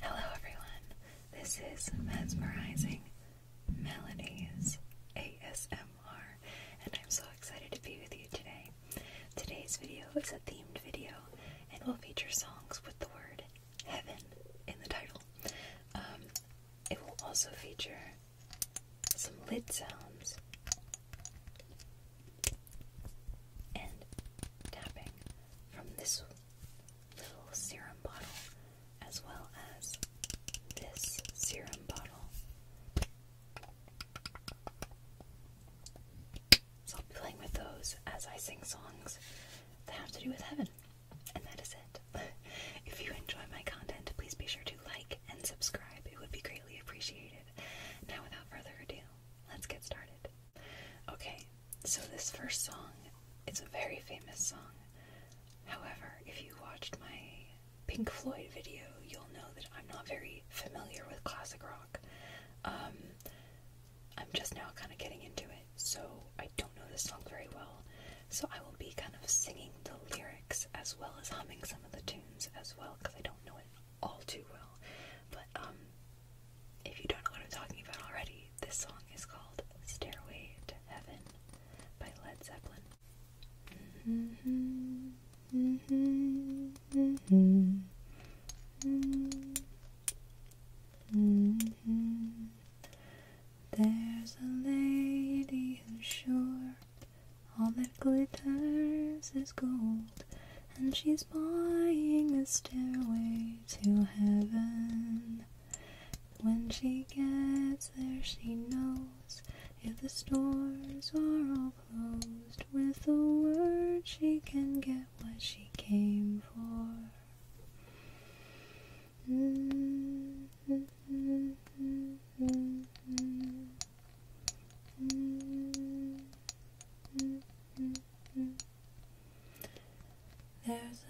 Hello, everyone. This is Mesmerizing Melodies ASMR, and I'm so excited to be with you today. Today's video is a themed video and will feature songs with the word heaven in the title. Um, it will also feature some lid sounds and tapping from this little serum bottle as well as this serum bottle. So I'll be playing with those as I sing songs that have to do with heaven. And that is it. if you enjoy my content, please be sure to like and subscribe. It would be greatly appreciated. Now, without further ado, let's get started. Okay, so this first song song—it's a very famous song. However, if you watched my Pink Floyd video, you'll know that I'm not very familiar with classic rock. Um, I'm just now kind of getting into it so I don't know this song very well. So I will be kind of singing the lyrics as well as humming some of the tunes as well because I don't know it all too well. But um, if you don't know what I'm talking about already, this song is called Stairway to Heaven by Led Zeppelin. There's a lady who's sure all that glitters is gold, and she's buying a stairway to heaven. When she gets there, she knows if the stores are all closed, with a word she can get what she came for. There's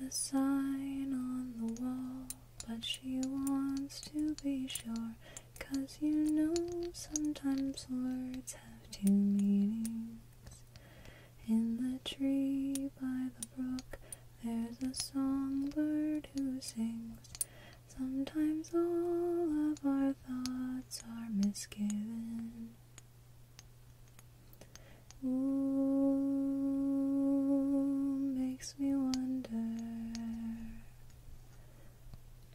a sign on the wall, but she wants to be sure. Cause you know sometimes words have two meanings. In the tree by the there's a songbird who sings. Sometimes all of our thoughts are misgiven. Ooh, makes me wonder.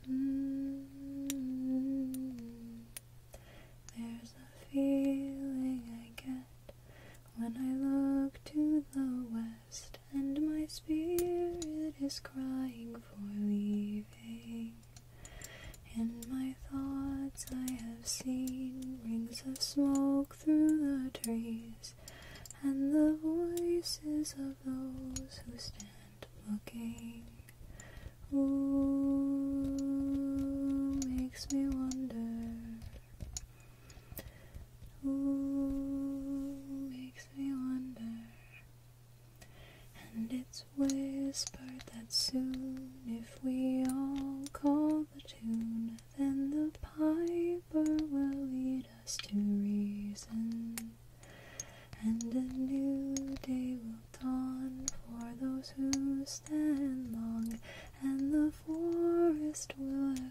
Mm-hmm. There's a feeling I get when I look to the west and my spirit is crying for leaving, in my thoughts I have seen rings of smoke through the trees and the voices of those who stand looking. Ooh, makes me wonder Ooh, makes me wonder. And it's whispered that soon, if we all call the tune, then the piper will lead us to reason. And a new day will dawn for those who stand long, and the forest will Mm.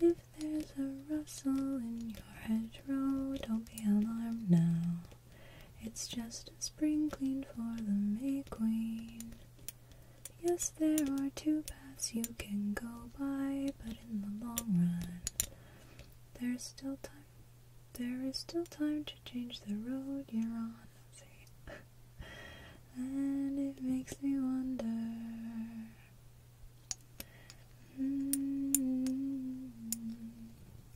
If there's a rustle in your hedgerow, don't be alarmed now. It's just a spring clean for the May Queen. Yes, there are two paths you can go by, but in the long run, there's still time. There is still time to change the road you're on. and it makes me wonder. Mm.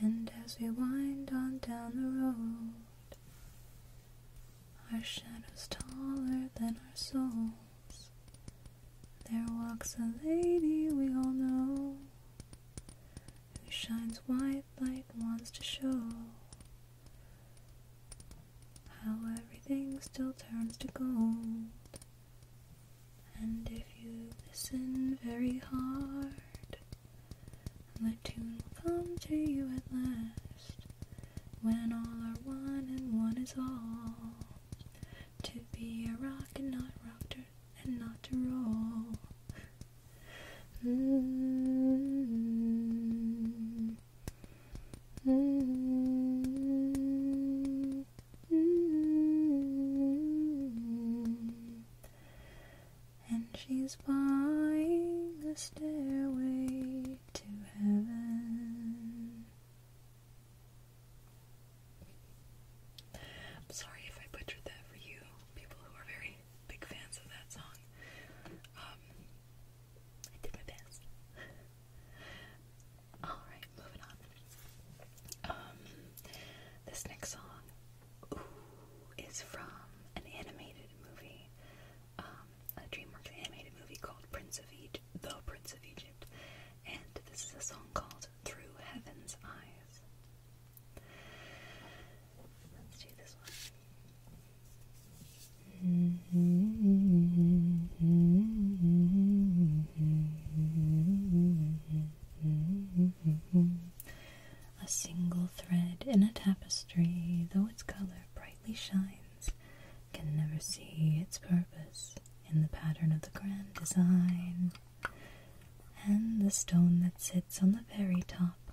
And as we wind on down the road, our shadows taller than our souls, there walks a lady we all know, who shines white light wants to show. How everything still turns to gold. And if you listen very hard, the tune will come to you at last. When all are one and one is all. To be a rock and not rock and not to roll. Mm. Mm-hmm. And she's buying the stairway to heaven. I'm sorry if I butchered that for you, people who are very big fans of that song. Um, I did my best. Alright, moving on. Um, this next song is from an animated movie, um, a DreamWorks animated movie called Prince of Egypt, The Prince of Egypt, and this is a song called Through Heaven's Eyes. Let's do this one. A single thread in a tapestry, though its color brightly shines, can never see its purpose in the pattern of the grand design. And the stone that sits on the very top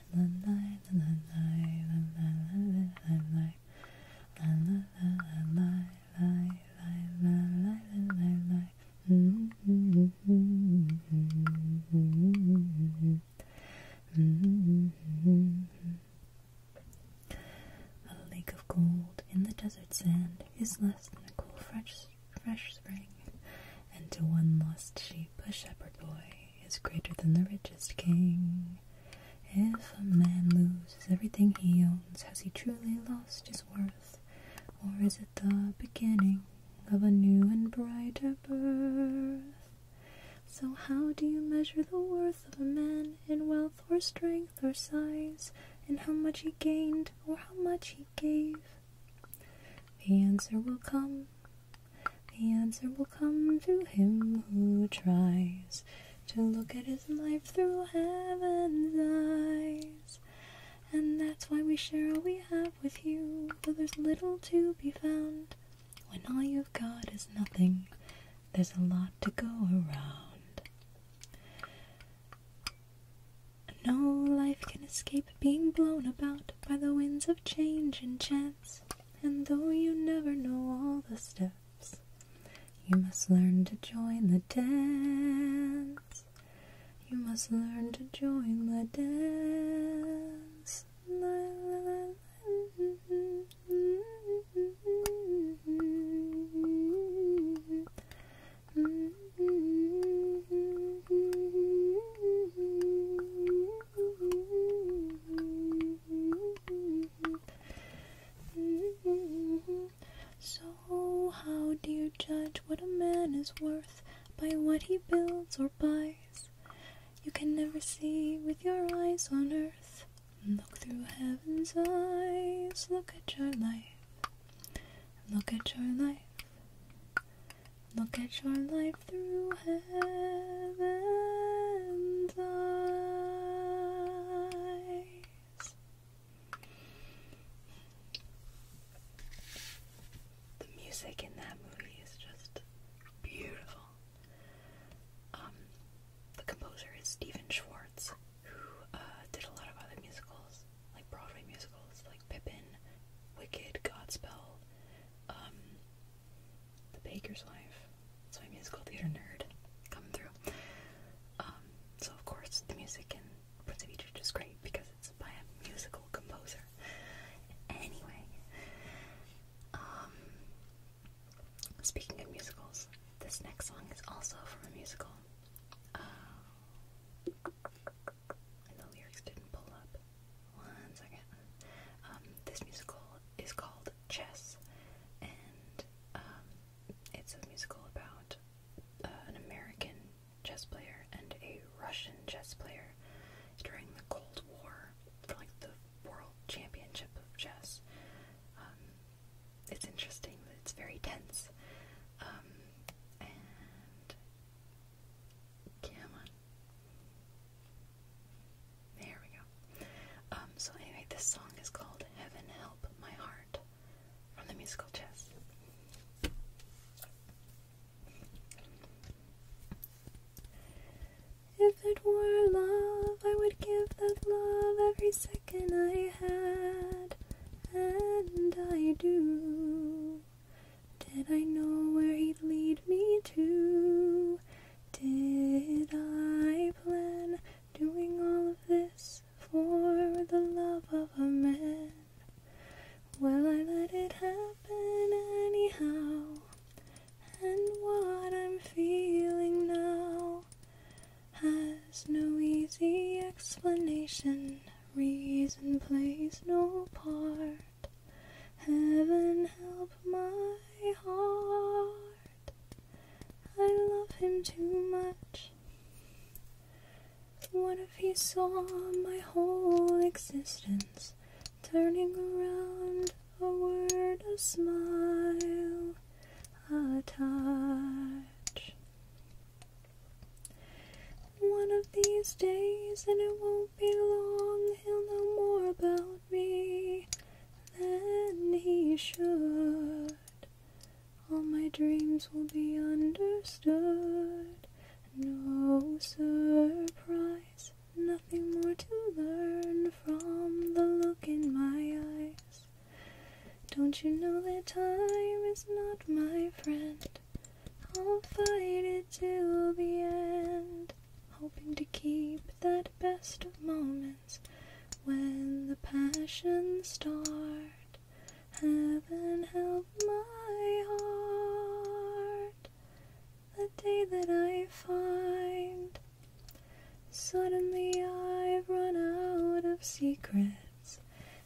a lake of gold in the desert sand is less than a cool fresh, fresh spring, and to one lost sheep a shepherd boy is greater than the richest king. If a man loses everything he owns, has he truly lost his worth? Or is it the beginning of a new and brighter birth? So, how do you measure the worth of a man in wealth or strength or size, in how much he gained or how much he gave? The answer will come the answer will come to him who tries to look at his life through heaven's eyes. And that's why we share all we have with you, though there's little to be found. When all you've got is nothing, there's a lot to go around. No life can escape being blown about by the winds of change and chance. And though you never know all the steps, you must learn to join the dance. You must learn to join the dance. So, how do you judge what a man is worth by what he builds or buys? You can never see with your eyes on earth. Look through heaven's eyes, look at your life. Look at your life. Look at your life through heaven's eyes. The music in that movie is just beautiful. Um, the composer is Stephen Schwartz, who uh, did a lot of other musicals, like Broadway musicals, like Pippin, Wicked, Godspell. Um, the Baker's Wife. That's my musical theater nerd coming through. Um, so of course the music in Prince of Egypt is great because it's by a musical composer. Anyway, um, speaking of musicals, this next song is also from a musical. and uh, the lyrics didn't pull up. One second. Um, this musical is called Chess, and um, it's a musical about uh, an American chess player and a Russian chess player during the Cold War for like the World Championship of Chess. Um, it's interesting, but it's very tense. and. Come on. There we go. Um, so anyway, this song is called Heaven Help My Heart from the musical Chess. If it were love, I would give that love every second I had, and I do. Did I know where he'd lead me to? Did I plan doing all of this for the love of a man? Well, I let it happen anyhow. And what I'm feeling now has no easy explanation, reason plays no part. Heaven help my heart. I love him too much. What if he saw my whole existence turning around a word, a smile, a touch? One of these days, and it won't be long, he'll know more about me than he should. All my dreams will be understood. No surprise, nothing more to learn from the look in my eyes. Don't you know that time is not my friend? I'll fight it till the end, hoping to keep that best of moments when the passions start. Heaven help my heart the day that I find. Suddenly I've run out of secrets.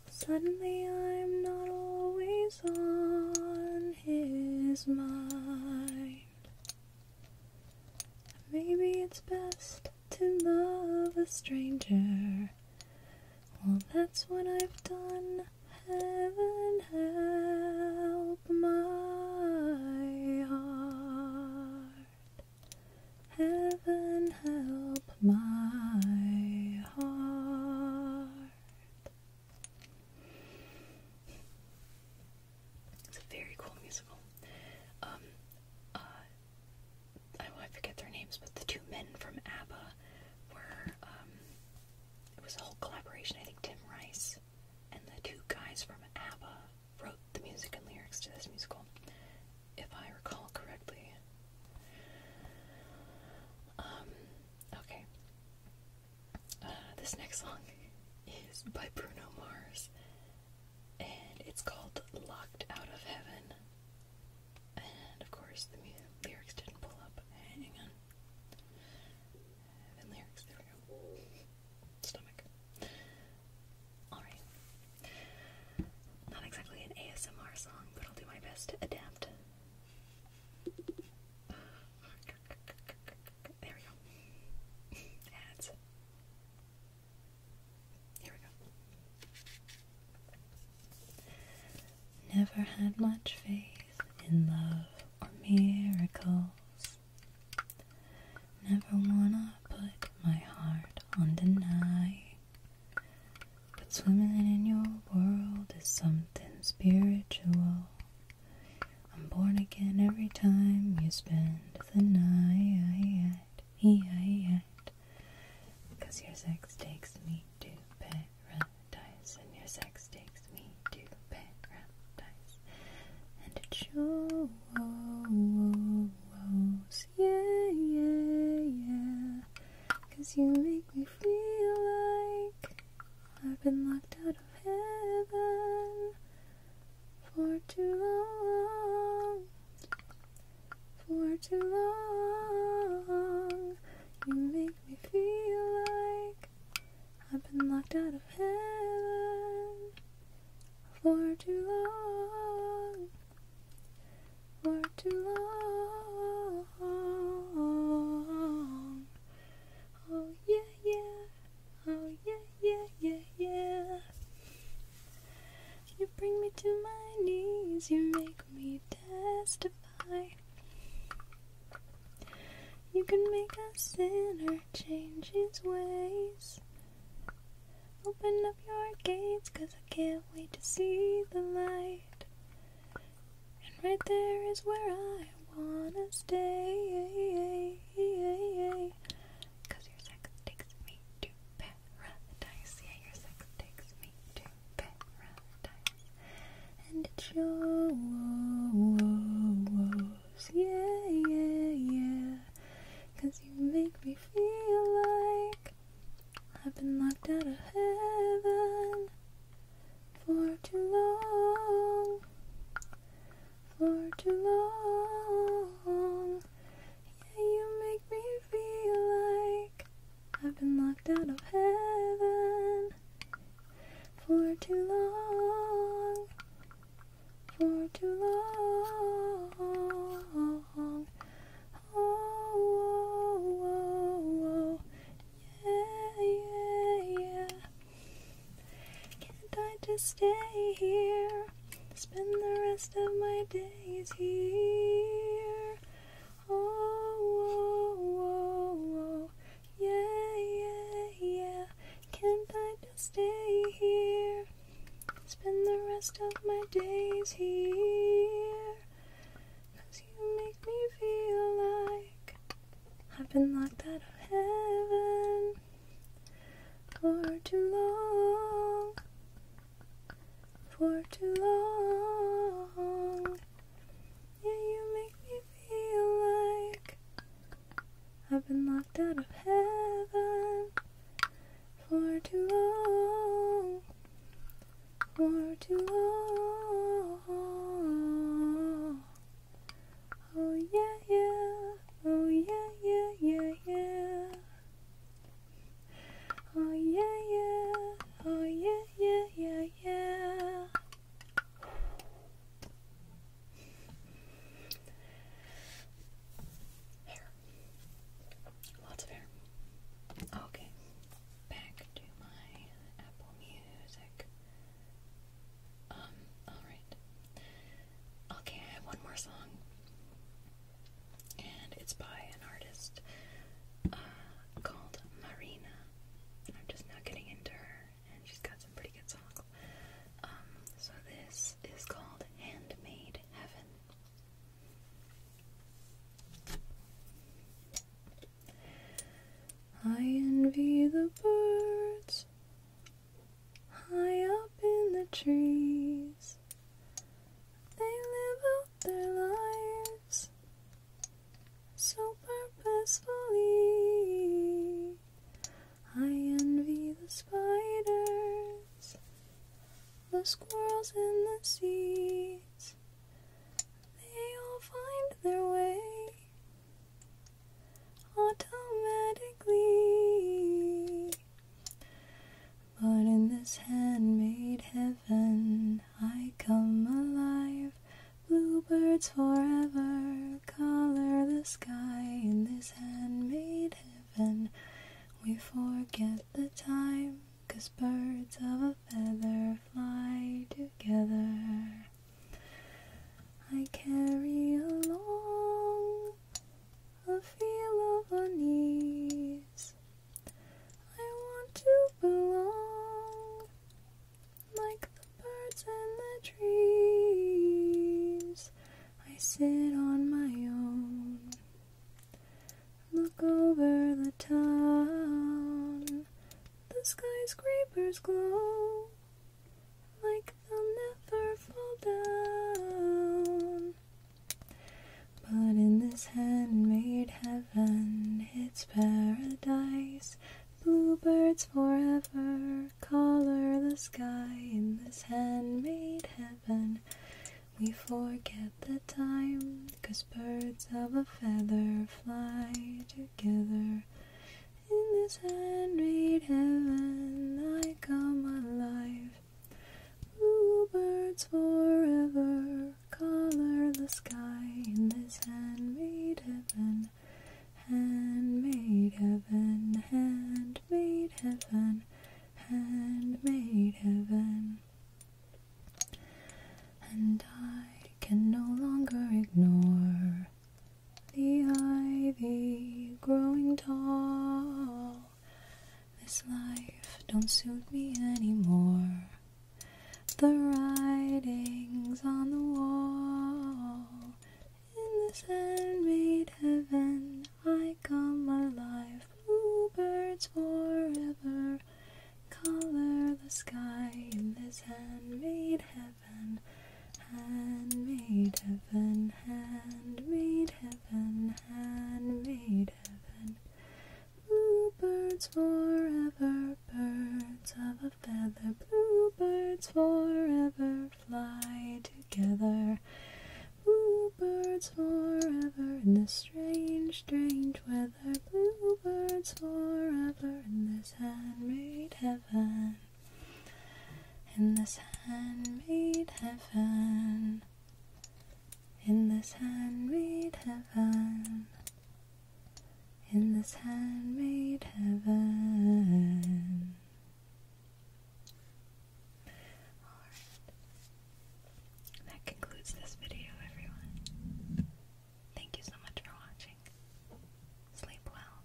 Suddenly I'm not always on his mind. Maybe it's best to love a stranger. Well, that's what I've done. Heaven help my heart. Heaven help my heart. It's a very cool musical. Um, uh, I, forget their names, but the two men from ABBA were, um, it was a whole collaboration. I think Tim Rice and the two guys from ABBA wrote the music and lyrics to this musical, if I recall correctly. Um, okay. Uh, this next song is by Bruno Mars and it's called Locked Out of Heaven. And of course, the lyrics didn't pull up. Hang on. Heaven lyrics, there we go. Stomach. Alright. Not exactly an ASMR song, but I'll do my best to adapt. There we go. Ads. Here we go. Never had much faith in love or miracles. Never wanna put my heart on the deny. But swimming in your world is something spiritual. I'm born again every time you spend the night. Because your sex takes me to paradise, and your sex takes me to paradise. And it shows, yeah, yeah, yeah. Because you make me feel like I've been locked out of heaven for too long, for too long. You make me feel like I've been locked out of heaven for too long, for too long. Oh, yeah, yeah. Oh yeah, yeah, yeah, yeah. You bring me to my knees, you make me testify. You can make a sinner change his ways. Open up your gates, cause I can't wait to see the light. And right there is where I wanna stay. Cause your sex takes me to paradise. Yeah, your sex takes me to paradise. And it's your Yeah, yeah, yeah. you make me feel like I've been locked out of heaven for too long for too long. Yeah, you make me feel like I've been locked out of heaven for too long, for too long. Oh, oh, oh, oh, yeah, yeah, yeah. Can't I just stay here? Spend the rest of my days here. Oh, oh, oh, oh, yeah, yeah, yeah. Can't I just stay here? Spend the rest of my days here. Cause you make me feel like I've been locked out of heaven. For too long, for too long. Yeah, you make me feel like I've been locked out of heaven for too long, for too long. Oh yeah, yeah. Oh yeah, yeah, yeah, yeah. Oh yeah, yeah. Oh yeah, yeah, yeah, yeah. Hair. Lots of hair. Okay. Back to my Apple Music. Um, alright. Okay, I have one more song. And it's by an artist uh, called Marina. I'm just now getting into her, and she's got some pretty good songs. Um, so this is called Handmade Heaven. I envy the birds High up in the trees, they live out their lives so purposefully. I envy the spiders, the squirrels and the seeds. They all find their way automatically. But in this handmade heaven, I come alive. Bluebirds forever color the sky. In this handmade heaven, we forget the time. Cause birds of a feather fly together. I carry along a feel of unease. I want to belong like the birds and the trees. I sit on my own, look over the town. The skyscrapers glow like they will never fall down. But in this handmade heaven, it's paradise. Bluebirds forever color the sky in this handmade heaven. We forget the time, 'cause birds of a feather fly together. In this handmade heaven, I come alive. Bluebirds forever color the sky in this hand-made heaven, hand-made heaven, hand-made heaven, hand-made heaven. And I can no longer ignore the ivy growing tall. This life don't suit me anymore. The writings on the wall. In this handmade heaven, I come alive. Bluebirds forever color the sky in this handmade heaven. Handmade heaven, handmade heaven, handmade heaven. Blue birds forever, birds of a feather. Blue birds forever, fly together. Blue birds forever in this strange, strange weather. Blue birds forever in this handmade heaven. In this handmade heaven in this handmade heaven, in this handmade heaven. Alright, that concludes this video, everyone. Thank you so much for watching. Sleep well.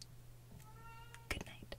Good night.